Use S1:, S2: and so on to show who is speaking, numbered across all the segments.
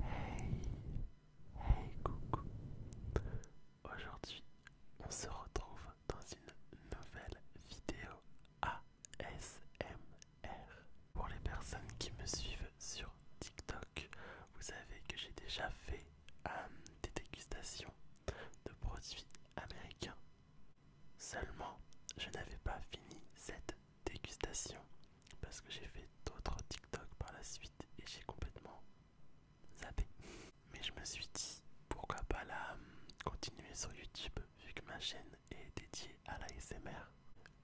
S1: Hey, hey coucou. Aujourd'hui, on se retrouve dans une nouvelle vidéo ASMR. Pour les personnes qui me suivent sur TikTok, vous savez que j'ai déjà fait euh, des dégustations de produits américains. Seulement, je n'avais pas fini cette dégustation parce que j'ai fait d'autres TikTok par la suite et j'ai complètement zappé. Mais je me suis dit pourquoi pas la euh, continuer sur YouTube vu que ma chaîne est dédiée à la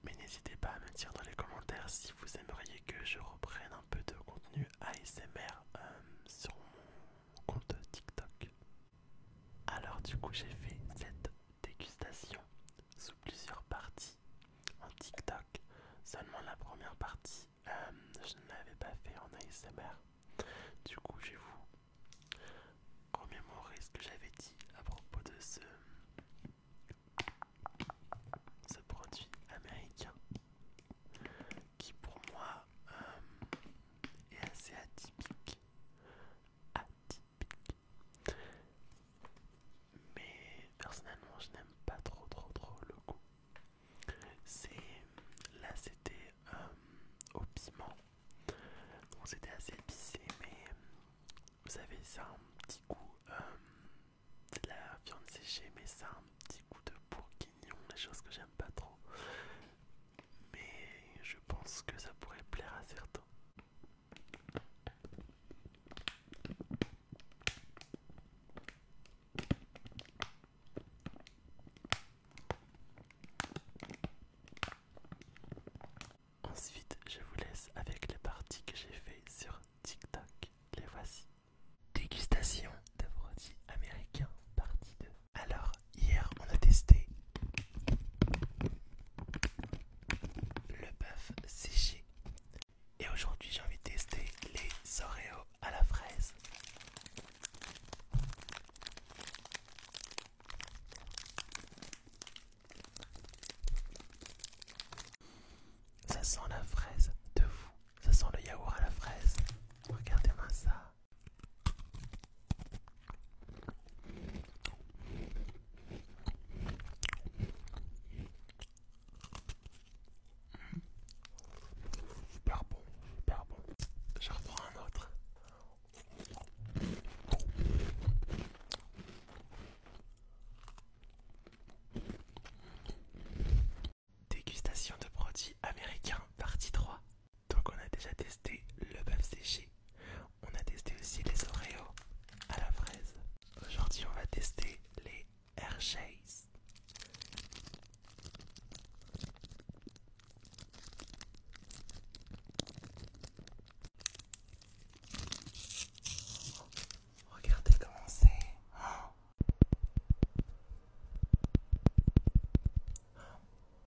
S1: Mais n'hésitez pas à me dire dans les commentaires si vous aimeriez que je reprenne un peu de contenu ASMR euh, sur mon compte TikTok. Alors du coup j'ai fait cette dégustation sous plusieurs parties en TikTok. Seulement la première partie, euh, je ne l'avais pas fait en ASMR. Du coup, je vais vous remémorer ce que j'avais dit à propos de ce, produit américain qui, pour moi, euh, est assez atypique atypique. Mais personnellement, je n'aime pas trop, trop, trop le goût. C'est là, c'était euh, au piment, c'était assez épicé, mais vous avez ça un petit goût euh, de la viande séchée, mais ça un petit goût de bourguignon, les choses que j'aime pas trop. Mais je pense que ça pourrait plaire à certains. Ensuite, je vous laisse avec la partie que j'ai fait sur TikTok. Les voici. Dégustation de produits américains, partie 2. Alors, hier, on a testé le bœuf séché. Et aujourd'hui, j'ai envie de tester les Oreos à la fraise. Ça sent la fraise de vous Ça sent le yaourt à la fraise. Regardez-moi ça. Super bon, super bon. Je reprends un autre. Dégustation de produits américains, partie 3. Donc on a déjà testé le bœuf séché on a testé aussi les Oreos à la fraise. Aujourd'hui, on va tester les Hershey's. Regardez comment c'est.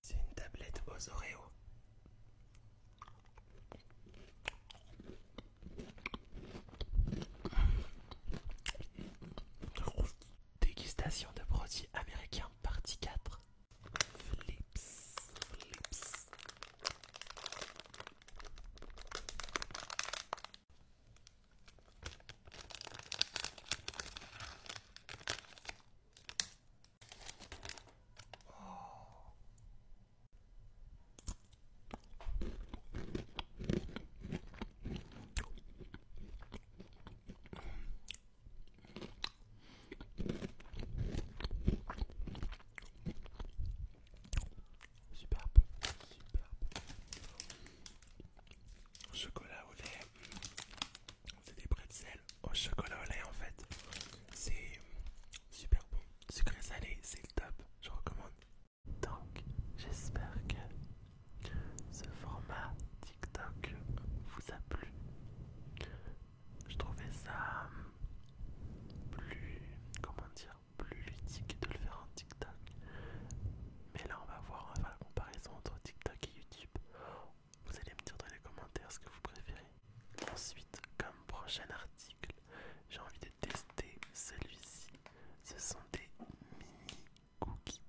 S1: C'est une tablette aux Oreos. Dégustation de produits américains, partie 4. Flips, flips. Oh. Super bon, super bon. Chocolat au lait. C'est des pretzels au chocolat au lait en fait. C'est super bon. Sucré salé, c'est le top. Je recommande. Donc, j'espère que ce format TikTok vous a plu. Je trouvais ça hum, plus, comment dire, plus ludique de le faire en TikTok. Mais là, on va voir, on va faire la comparaison entre TikTok et YouTube. Vous allez me dire dans les commentaires ce que vous préférez. Ensuite, comme prochain article, j'ai envie de tester celui-ci. Ce sont des mini cookies.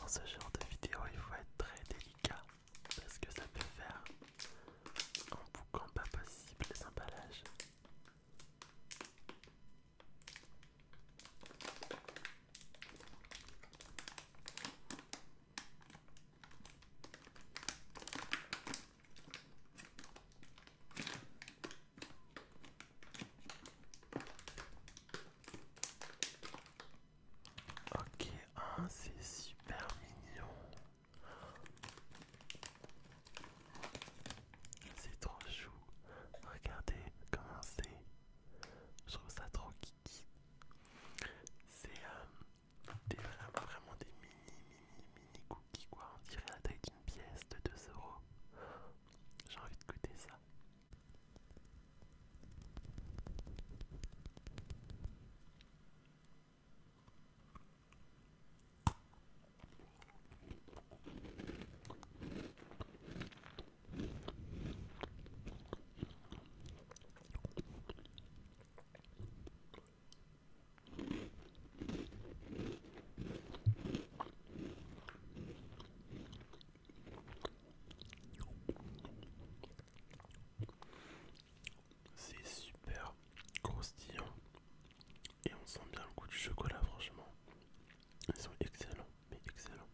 S1: Dans ce genre de vidéo, il faut être très délicat parce que ça peut faire en bouquant pas possible les emballages. Ok, c'est super mignon. C'est trop chou. Regardez comment c'est. Je trouve ça trop kiki. C'est euh, des vraiment, vraiment des mini, mini, mini cookies quoi. On dirait la taille d'une pièce de 2 euros. J'ai envie de goûter ça. C'est super croustillant et on sent bien le goût du chocolat franchement. Ils sont excellents, mais excellents.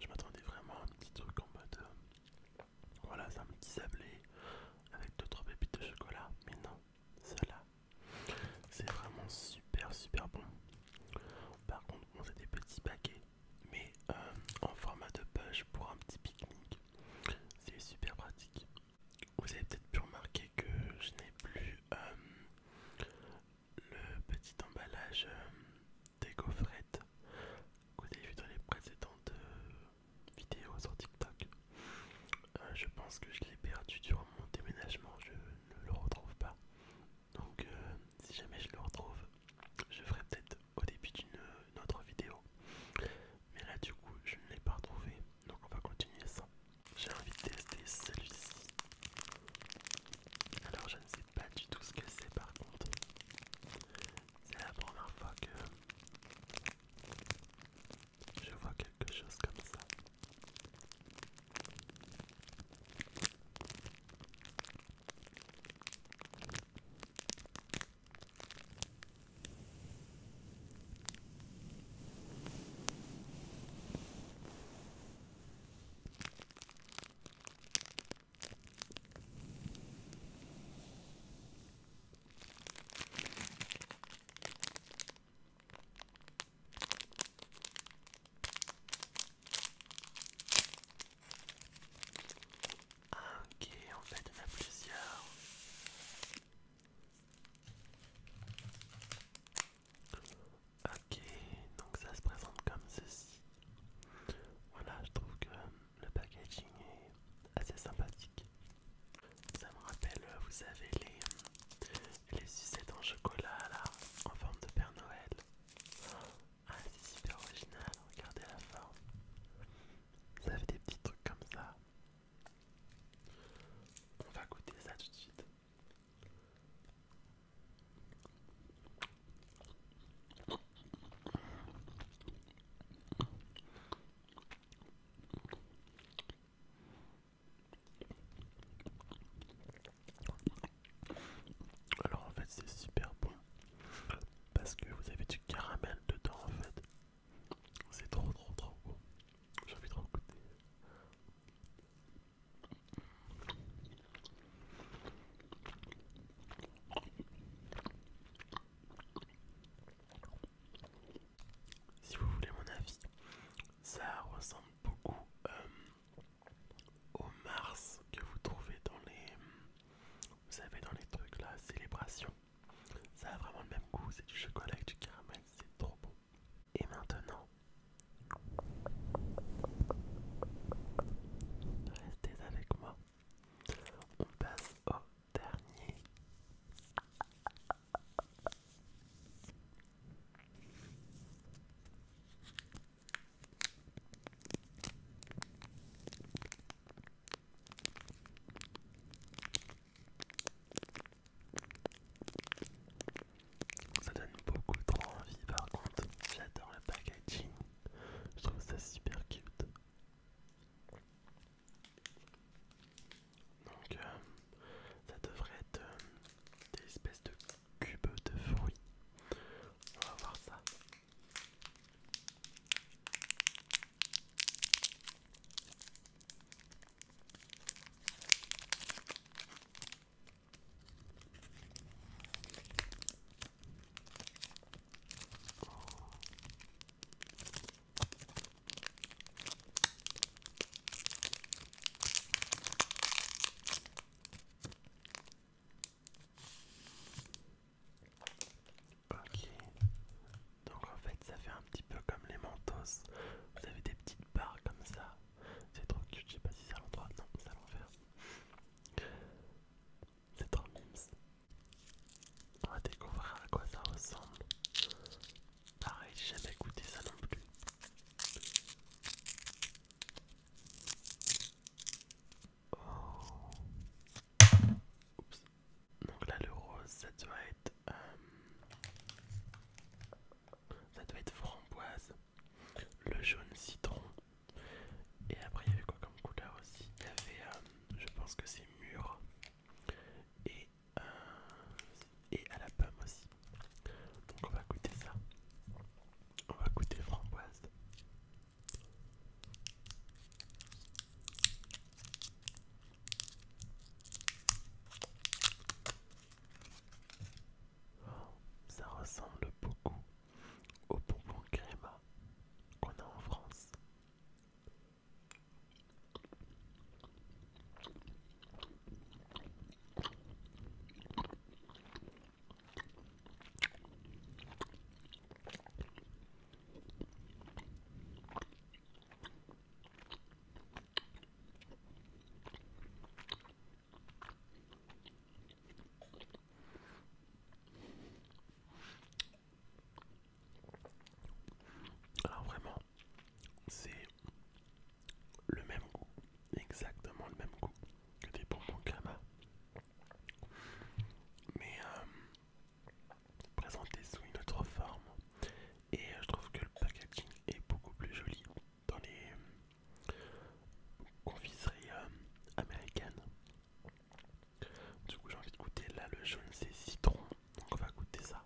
S1: Je m'attendais vraiment à un petit truc en mode euh, voilà, c'est un petit sablé avec d'autres pépites de chocolat. Mais non, celle-là, c'est vraiment super super bon. Par contre, on a des petits paquets, mais euh, en format de poche pour un petit pique-nique. C'est super pratique. Vous avez peut-être pu remarquer que je n'ai plus euh, le petit emballage euh, des gaufrettes que vous avez vu dans les précédentes vidéo sur TikTok. Euh, je pense que je l'ai perdu durant mon déménagement, je ne le retrouve pas. Donc euh, si jamais je le retrouve, je ferai peut-être au début d'une autre vidéo. Mais là du coup je ne l'ai pas retrouvé, donc on va continuer ça. J'ai envie de tester celui-ci. Alors je ne sais pas du tout ce que c'est par contre. C'est la première fois que je vois quelque chose comme ça ok, en fait, en a plusieurs. Ok, donc ça se présente comme ceci. Voilà, je trouve que le packaging est assez sympathique. Ça me rappelle, euh, vous savez, les, sucettes en chocolat là, en forme de Père Noël. Ah, c'est super original, regardez la forme. Ça fait des petits trucs comme ça. On va goûter ça tout de suite. Alors en fait c'est super bon parce que vous avez du caramel dedans en fait. C'est trop trop trop bon. J'ai envie de goûter. Si vous voulez mon avis, ça ressemble beaucoup euh, au Mars que vous trouvez dans les... Vous savez, dans les trucs là, célébration. Ça a vraiment le même goût, c'est du chocolat avec du caramel, c'est trop bon. Et maintenant, avec moi. On passe au dernier. Ça donne beaucoup trop envie par contre, j'adore le packaging. Je trouve ça super cute. Donc euh, ça devrait être euh, des espèces de cubes de fruits. On va voir ça. Ok, donc en fait ça fait un petit peu comme les mentos, vous avez des petites barres comme ça, c'est trop cute, je sais pas si c'est à l'endroit, non c'est à l'envers. C'est trop mimes. On va découvrir à quoi ça ressemble. Pareil, j'ai jamais goûté ça non plus. Oh. Donc là, le rose, ça doit être. Euh, ça doit être framboise le jaune citron. Et après, il y avait quoi comme couleur aussi Il y avait, euh, je pense que c'est mûr et, euh, et à la pomme aussi. Donc, on va goûter ça. On va goûter framboise. Ça ressemble beaucoup au bonbon créma qu'on a en France. Alors vraiment, c'est le même goût, exactement le même goût que des bonbons Kama, mais euh, présenté sous une autre forme. Et euh, je trouve que le packaging est beaucoup plus joli dans les euh, confiseries euh, américaines. Du coup j'ai envie de goûter là le jaune c'est citron, donc on va goûter ça.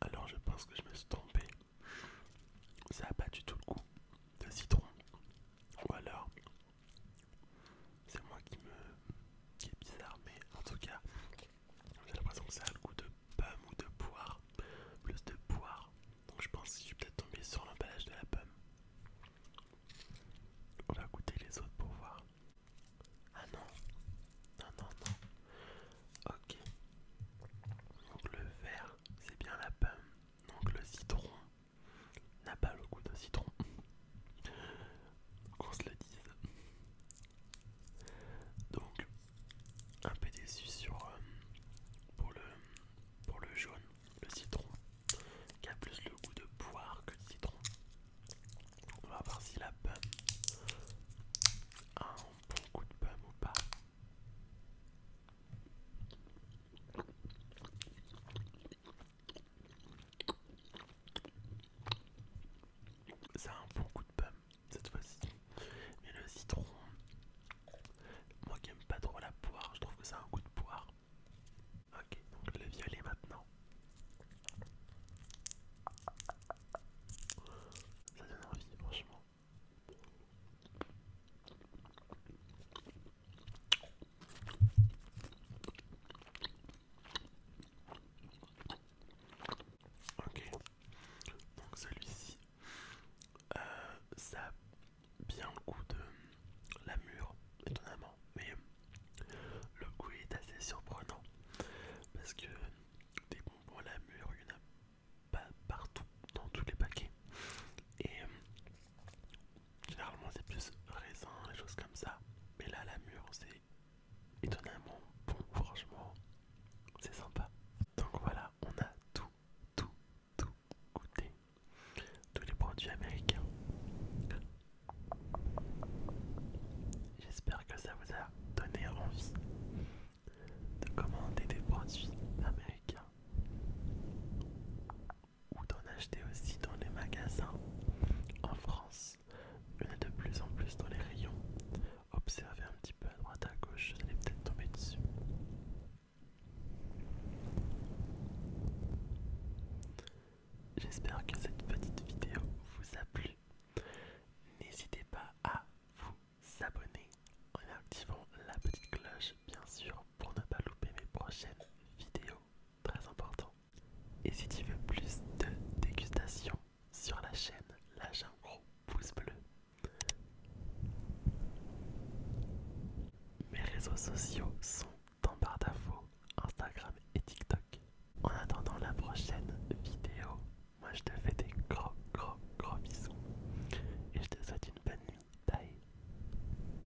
S1: Alors je pense que je me suis trompé. Ça a pas du tout le goût de citron. Ou alors c'est moi qui me qui est bizarre, mais en tout cas, j'ai l'impression que ça a le goût de pomme ou de poire, plus de poire. Donc je pense que je suis peut-être tombé sur l'emballage de la pomme. On va goûter les autres pour voir. Ah non, non, non, non. Ok. Donc le vert, c'est bien la pomme. Donc le citron n'a pas le goût de citron. Qu'on se le dise. Donc un peu déçu sur euh, pour le pour le jaune, le citron, qui a plus le goût de poire que de citron. On va voir si la pomme a un bon goût de pomme ou pas. Ça a un bon coup de pomme cette fois-ci. Mais le citron, moi qui n'aime pas trop la poire, je trouve que ça a un goût de poire. Ok, donc le violet maintenant. Ça donne envie, franchement. Ok, donc celui-ci, euh, ça a bien le goût de la mûre, étonnamment, mais le goût est assez surprenant parce que des bonbons à la mûre, il n'y en a pas partout dans tous les paquets. Et Généralement c'est plus raisin, les choses comme ça. Mais là la mûre c'est étonnamment bon franchement. C'est sympa. Donc voilà, on a tout, tout, tout goûté. Tous les produits américains. J'espère que ça vous a donné envie de commander des produits américains ou d'en acheter aussi dans les magasins. En France, il y en a de plus en plus dans les rayons. Observez un petit peu à droite à gauche, vous allez peut-être tomber dessus. J'espère que cette petite vidéo vous a plu. N'hésitez pas à vous abonner en activant la petite cloche bien sûr pour ne pas louper mes prochaines vidéos très important. Et si tu veux plus de dégustations sur la chaîne, lâche un gros pouce bleu. Mes réseaux sociaux sont en barre d'infos, Instagram et TikTok. En attendant la prochaine vidéo, moi je te fais des gros gros gros bisous et je te souhaite une bonne nuit. Bye